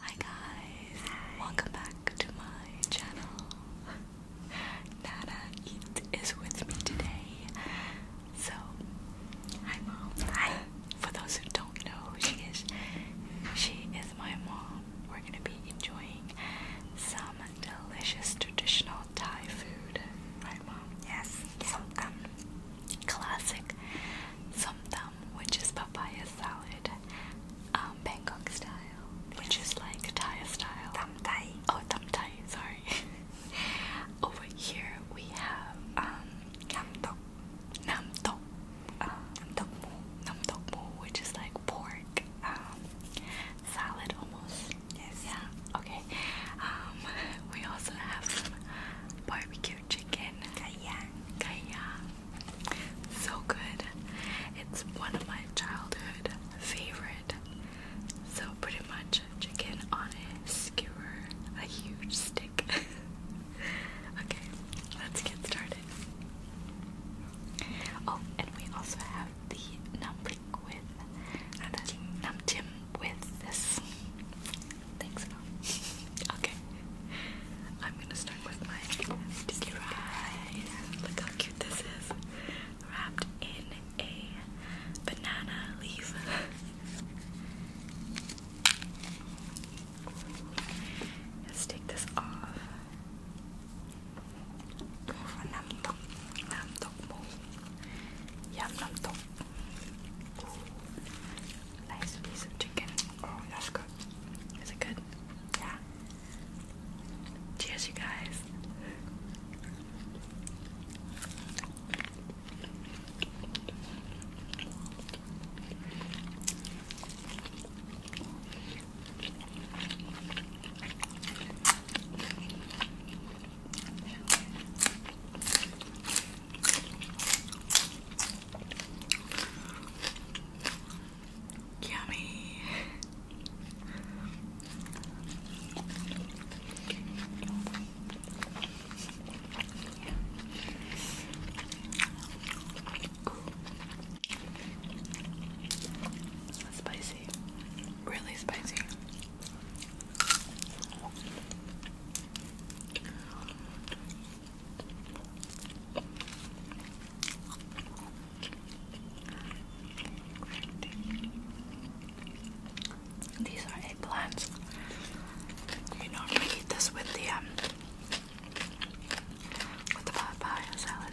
Hi guys, welcome back to my channel. Nana Eat is with me today. So, hi mom. Hi. For those who don't know she is, she is my mom. We're gonna be enjoying some delicious traditional Thai food. Right mom? Yes. Somtam. Um, classic somtam, which is papaya salad, um, Bangkok style, which is like Thai style. Tam Thai. Oh, tam Thai. Sorry. Over here we have um, nam tok, nam tok, uh, nam tok mu, nam tok mu, which is like pork um, salad almost. Yes. Yeah. Okay. we also have barbecue chicken. Kayang. Kayang. So good. It's one of my childhood favorite. So pretty much chicken on a skewer, a huge stick. okay, let's get started. Oh, and we also have the numbrick with uh, the with this think okay. I'm gonna start with my Disney prize. Look how cute this is. Wrapped in a banana leaf. Let's take this off. Nice piece of chicken. Oh, that's good. Is it good? Yeah. Cheers, you guys. Yummy. Spicy, really spicy. These are eggplants. You normally eat this with the um with the papaya salad.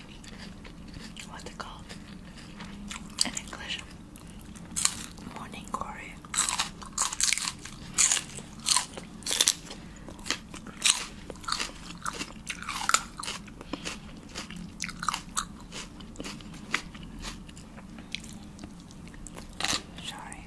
what's it called in English? Morning glory. Sorry.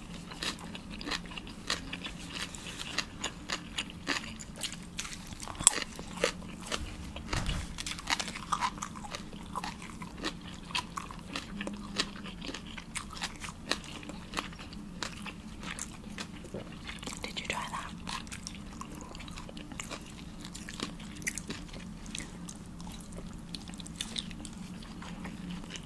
Did you try that?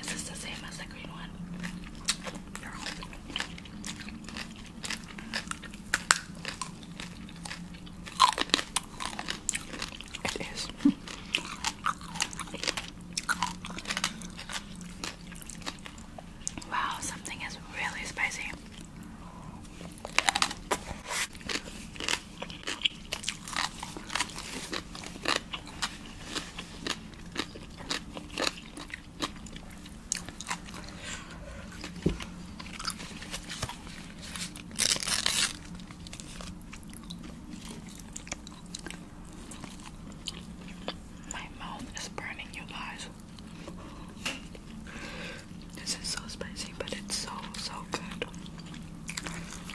Is this the same as the green one? It is. wow, something is really spicy. My mouth is burning, you guys. This is so spicy, but it's so, so good.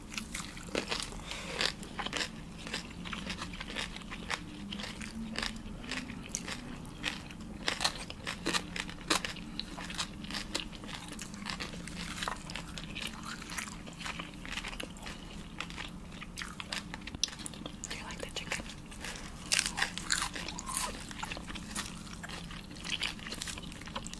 Do you like the chicken?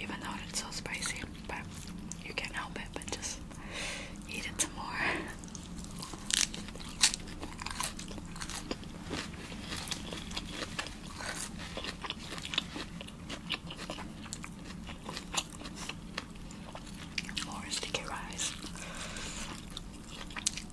Even though it's so spicy, but you can't help it but just eat it some more. More sticky rice.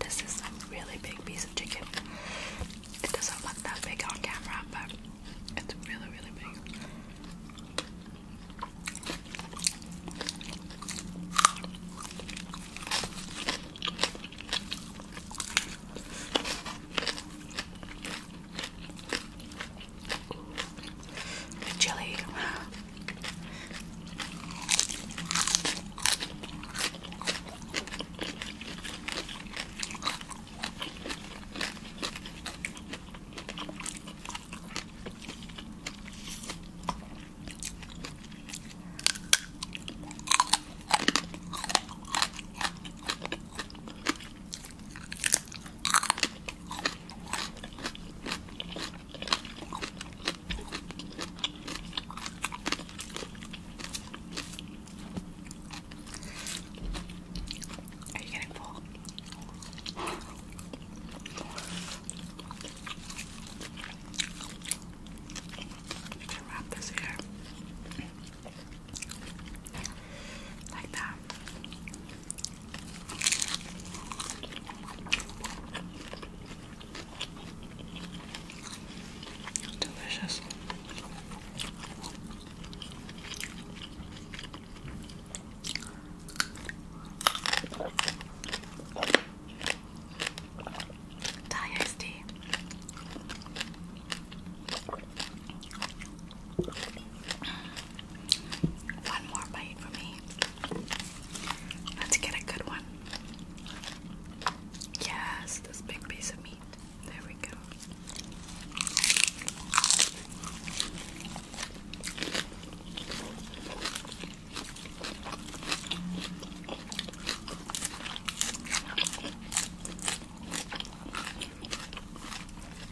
This is a really big piece of chicken. It doesn't look that big on camera, but it's really, really big. The chili. Are you getting full? I'm gonna wrap this here. Like that. Delicious. Thai one more bite for me. Let's get a good one. Yes, this big piece of meat. There we go.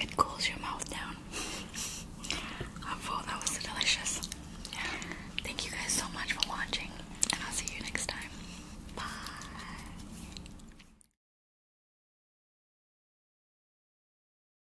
It cools your mouth down. i That was delicious. Thank you guys so much for watching, and I'll see you next time. Bye.